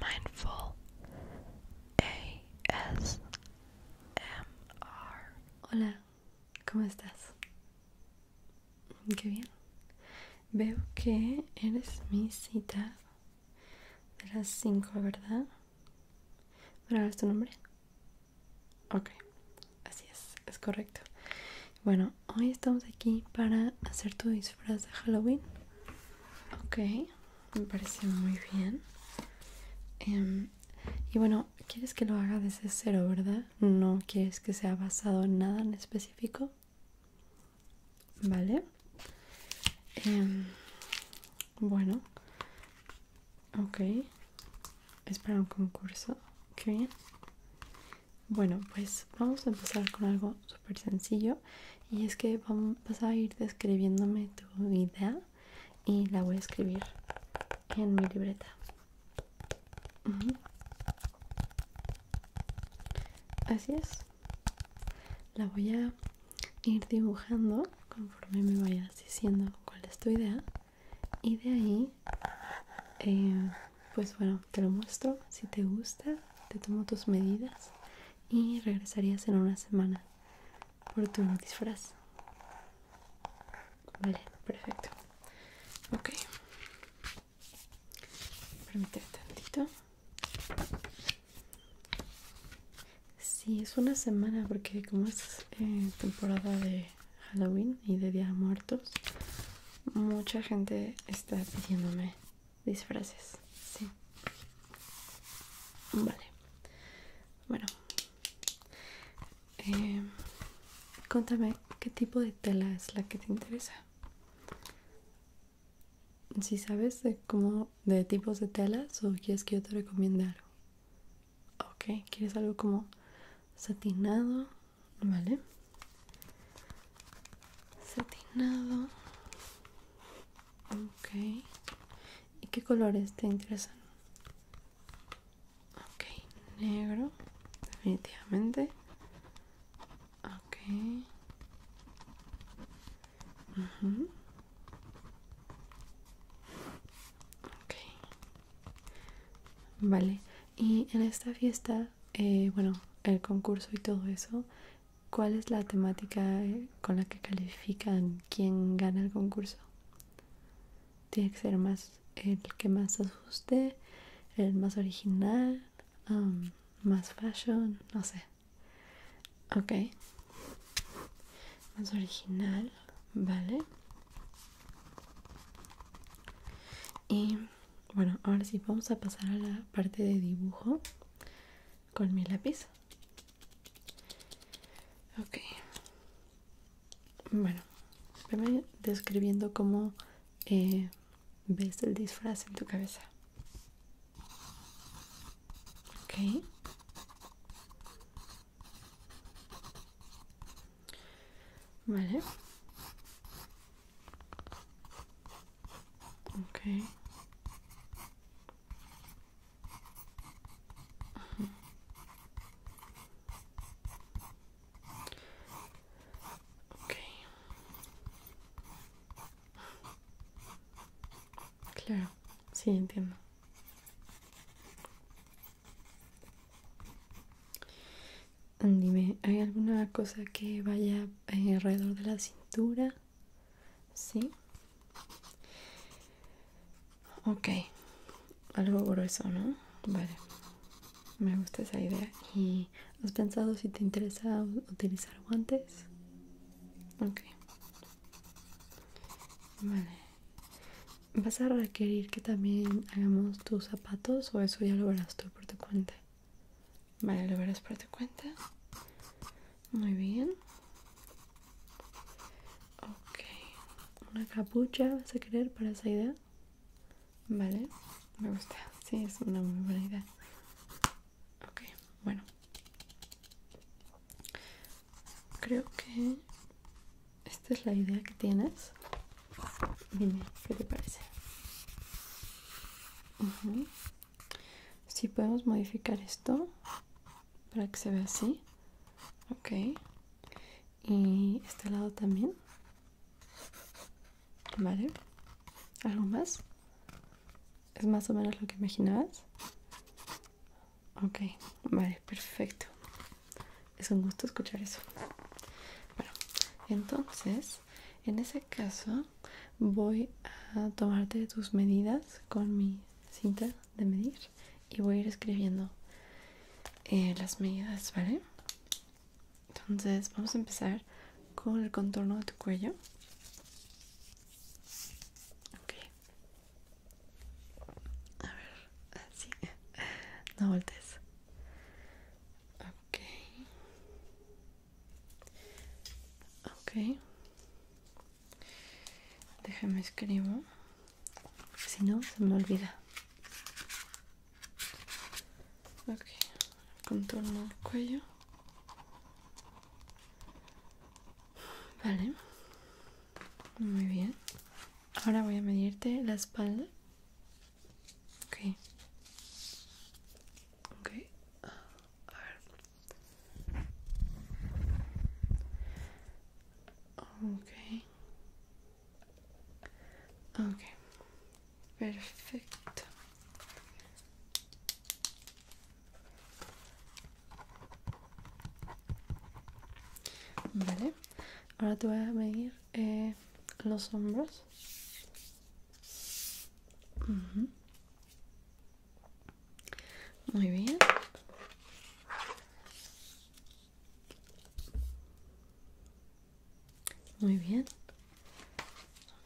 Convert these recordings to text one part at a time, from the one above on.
Mindful ASMR. Hola, ¿cómo estás? Qué bien. Veo que eres mi cita de las 5, ¿verdad? ¿Para es tu nombre? Ok, así es, es correcto. Bueno, hoy estamos aquí para hacer tu disfraz de Halloween. Ok me pareció muy bien. Em, y bueno, quieres que lo haga desde cero, ¿verdad? No quieres que sea basado en nada en específico. Vale. Em, bueno. Ok. Es para un concurso. Qué Bueno, pues vamos a empezar con algo súper sencillo y es que vas a ir describiéndome tu idea y la voy a escribir en mi libreta. Así es. La voy a ir dibujando conforme me vayas diciendo cuál es tu idea y de ahí eh, pues bueno te lo muestro si te gusta te tomo tus medidas y regresarías en una semana por tu disfraz. Vale, perfecto. Ok. Permíteme tantito. Sí, es una semana porque como es eh, temporada de Halloween y de Día de Muertos, mucha gente está pidiéndome disfraces, sí. Vale. Bueno. Eh, contame qué tipo de tela es la que te interesa. Si sabes de cómo de tipos de telas o quieres que yo te recomiende algo. Ok, ¿quieres algo como satinado? Vale. Satinado. Ok. ¿Y qué colores te interesan? Ok, negro, definitivamente. Ok. Vale. Y en esta fiesta, eh, bueno, el concurso y todo eso, ¿Cuál es la temática eh, con la que califican quién gana el concurso? Tiene que ser más el que más asuste, el más original, más fashion, no sé. Ok. Más original, vale. Y bueno, ahora sí, vamos a pasar a la parte de dibujo con mi lápiz. Ok. Bueno, veme describiendo cómo eh, ves el disfraz en tu cabeza. Ok. Vale. Okay. Okay. Claro, sí, entiendo. Dime, ¿hay alguna cosa que vaya eh, alrededor de la cintura? ¿Sí? Ok, algo grueso, ¿no? Vale, me gusta esa idea. ¿Y has pensado si te interesa utilizar guantes? Ok, vale. ¿Vas a requerir que también hagamos tus zapatos o eso ya lo verás tú por tu cuenta? Vale, lo verás por tu cuenta. Muy bien. Ok. Una capucha vas a querer para esa idea. Vale. Me gusta. Sí, es una muy buena idea. Ok, bueno. Creo que esta es la idea que tienes. Dime, ¿qué te parece? Si podemos modificar esto para que se vea así. Ok. Y este lado también. Vale. ¿Algo más? ¿Es más o menos lo que imaginabas? Ok, vale, perfecto. Es un gusto escuchar eso. Bueno, entonces, en ese caso, voy a tomarte tus medidas con mi cinta de medir y voy a ir escribiendo eh, las medidas, ¿vale? Entonces vamos a empezar con el contorno de tu cuello. A ver, así. No voltees. Ok ok déjame escribo si no se me olvida ok contorno el cuello vale muy bien ahora voy a medirte la espalda Okay. Okay. a ver. Okay. Okay. Perfecto. Vale. Ahora te voy a medir eh, los hombros. Muy bien. Muy bien.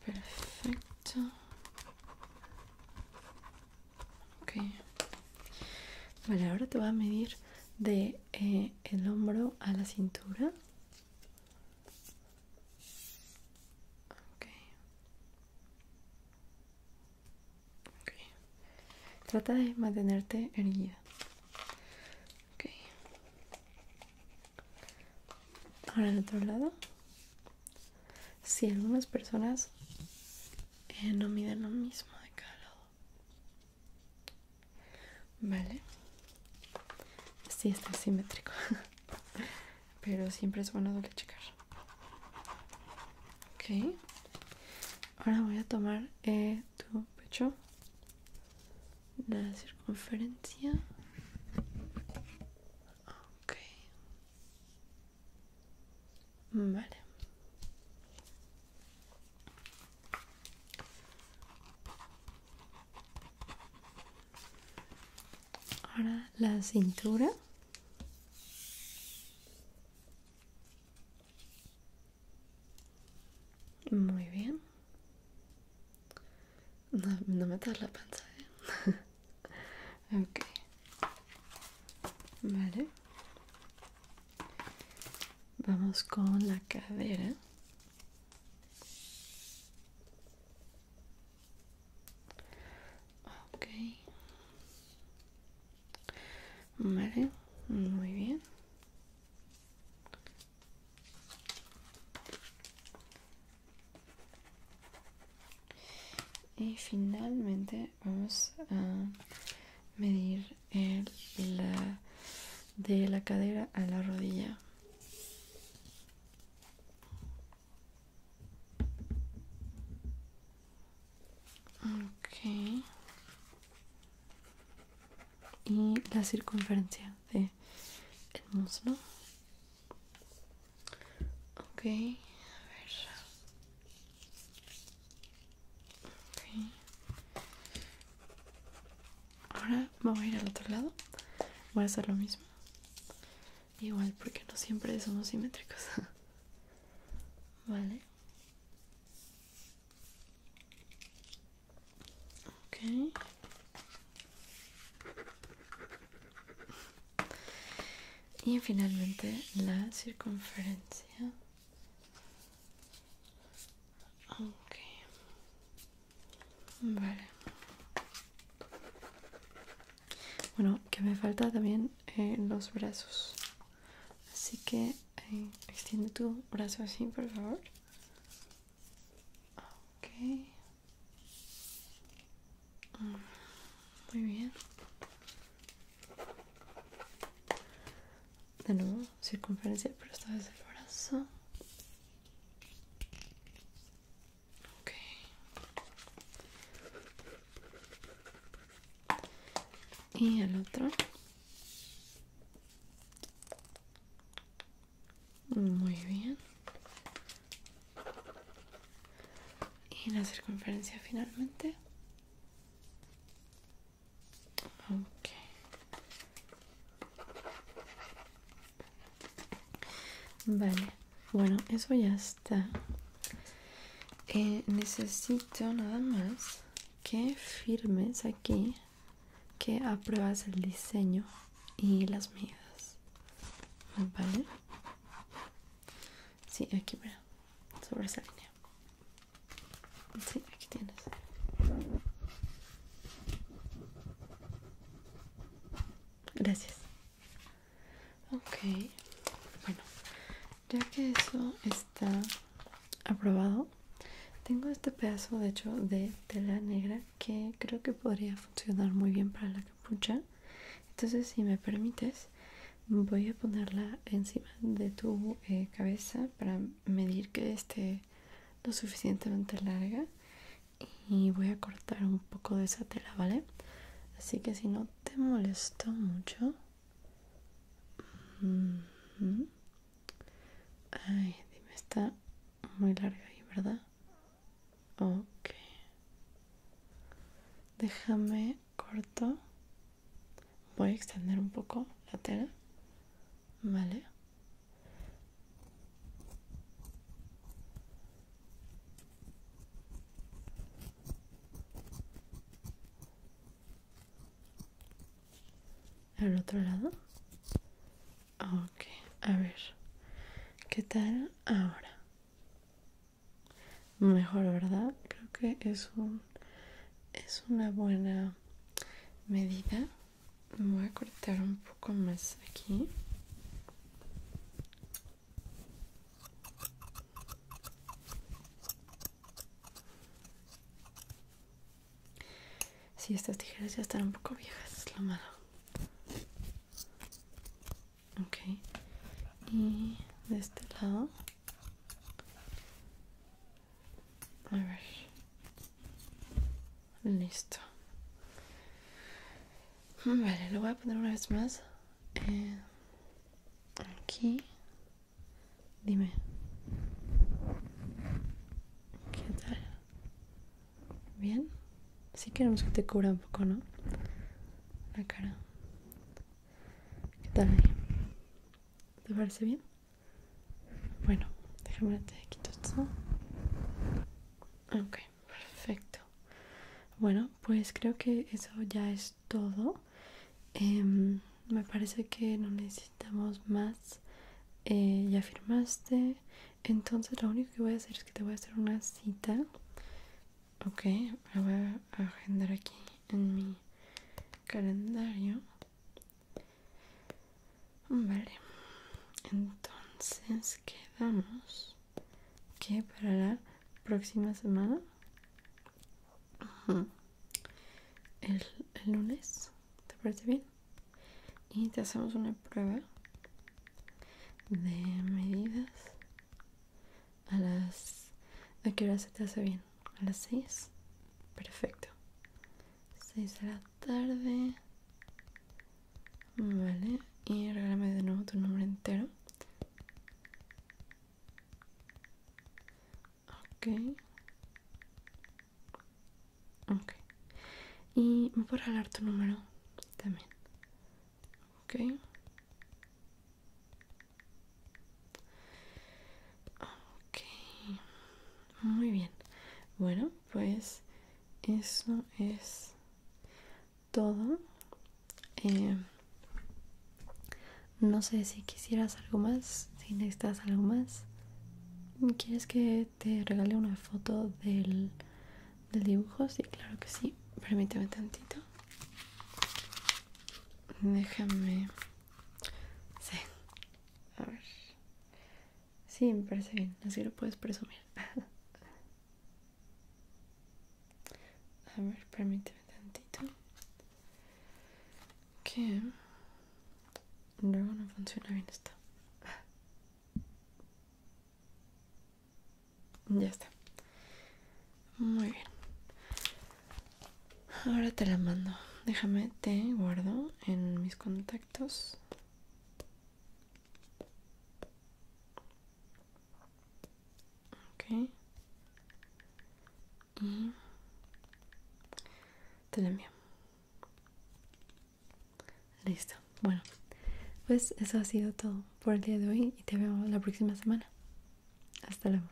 Perfecto. Vale, ahora te voy a medir de eh, el hombro a la cintura. Okay. Okay. Trata de mantenerte erguida. Okay. Ahora del otro lado. Si algunas personas eh, no miden lo mismo de cada lado. Vale, si está simétrico, pero siempre es bueno doble checar. Ok, ahora voy a tomar eh, tu pecho, la circunferencia. Ok, vale. Ahora la cintura. Muy bien. No, me atas la pantalla, ¿eh? Okay. Vale. Vamos con la cadera. Okay, Vale, muy bien. Y finalmente vamos a medir el, la, de la cadera a la rodilla. Okay. Y la circunferencia de el muslo. Ok, Okay ahora vamos a ir al otro lado voy a hacer lo mismo igual porque no siempre somos simétricos vale ok y finalmente la circunferencia. Okay. Vale. Bueno, que me falta también eh, los brazos. Así que eh, extiende tu brazo así, por favor. Ok. Mm, muy bien de nuevo circunferencia, pero esta vez el brazo. Y el otro. Muy bien. Y la circunferencia finalmente. Vale, bueno, eso ya está. Eh, necesito nada más que firmes aquí que apruebas el diseño y las medidas. ¿Vale? Sí, aquí, mira, sobre esa línea. Sí, aquí tienes. Gracias. Ok, bueno, ya que eso está aprobado, tengo este pedazo de hecho de tela negra que creo que podría funcionar muy bien para la capucha. Entonces, si me permites, voy a ponerla encima de tu eh, cabeza para medir que este lo suficientemente larga y voy a cortar un poco de esa tela, ¿vale? Así que si no te molesto mucho... Ay, dime, está muy larga ahí, ¿verdad? Ok. Déjame corto voy a extender un poco la tela vale al otro lado ok a ver qué tal ahora mejor verdad creo que es un es una buena medida voy a cortar un poco más aquí si estas tijeras ya están un poco viejas es lo malo ok y de este lado a ver. Listo. Vale, lo voy a poner una vez más. Eh, aquí. Dime. ¿Qué tal? ¿Bien? Si queremos que te cubra un poco, ¿no? La cara. ¿Qué tal? ¿Te parece bien? Bueno, déjame te quito esto. Ok, perfecto. Bueno, pues creo que eso ya es todo. Em, me parece que no necesitamos más. Eh, ya firmaste. Entonces lo único que voy a hacer es que te voy a hacer una cita. Ok, me voy a agendar aquí en mi calendario. Vale, entonces quedamos que para la próxima semana, El, el lunes, ¿te parece bien? Y te hacemos una prueba de medidas a las... ¿A qué hora se te hace bien? a las seis Perfecto. 6 de la tarde. Vale. Y regálame de nuevo tu número entero. Ok. Ok. Y me puedo regalar tu número también. Ok. Ok, muy bien. Bueno, pues eso es todo. Eh, no sé si quisieras algo más, si necesitas algo más. ¿Quieres que te regale una foto del, del dibujo? Sí, claro que sí. Permíteme tantito. Déjame Sí. A ver. Sí, me parece bien. Así lo puedes presumir. A ver, permíteme tantito. Que luego no funciona bien esto. Ya está. Muy bien. Ahora te la mando. Déjame, te guardo en mis contactos. Ok. Y mm. te la envío. Listo. Bueno, pues eso ha sido todo por el día de hoy y te veo la próxima semana. Hasta luego.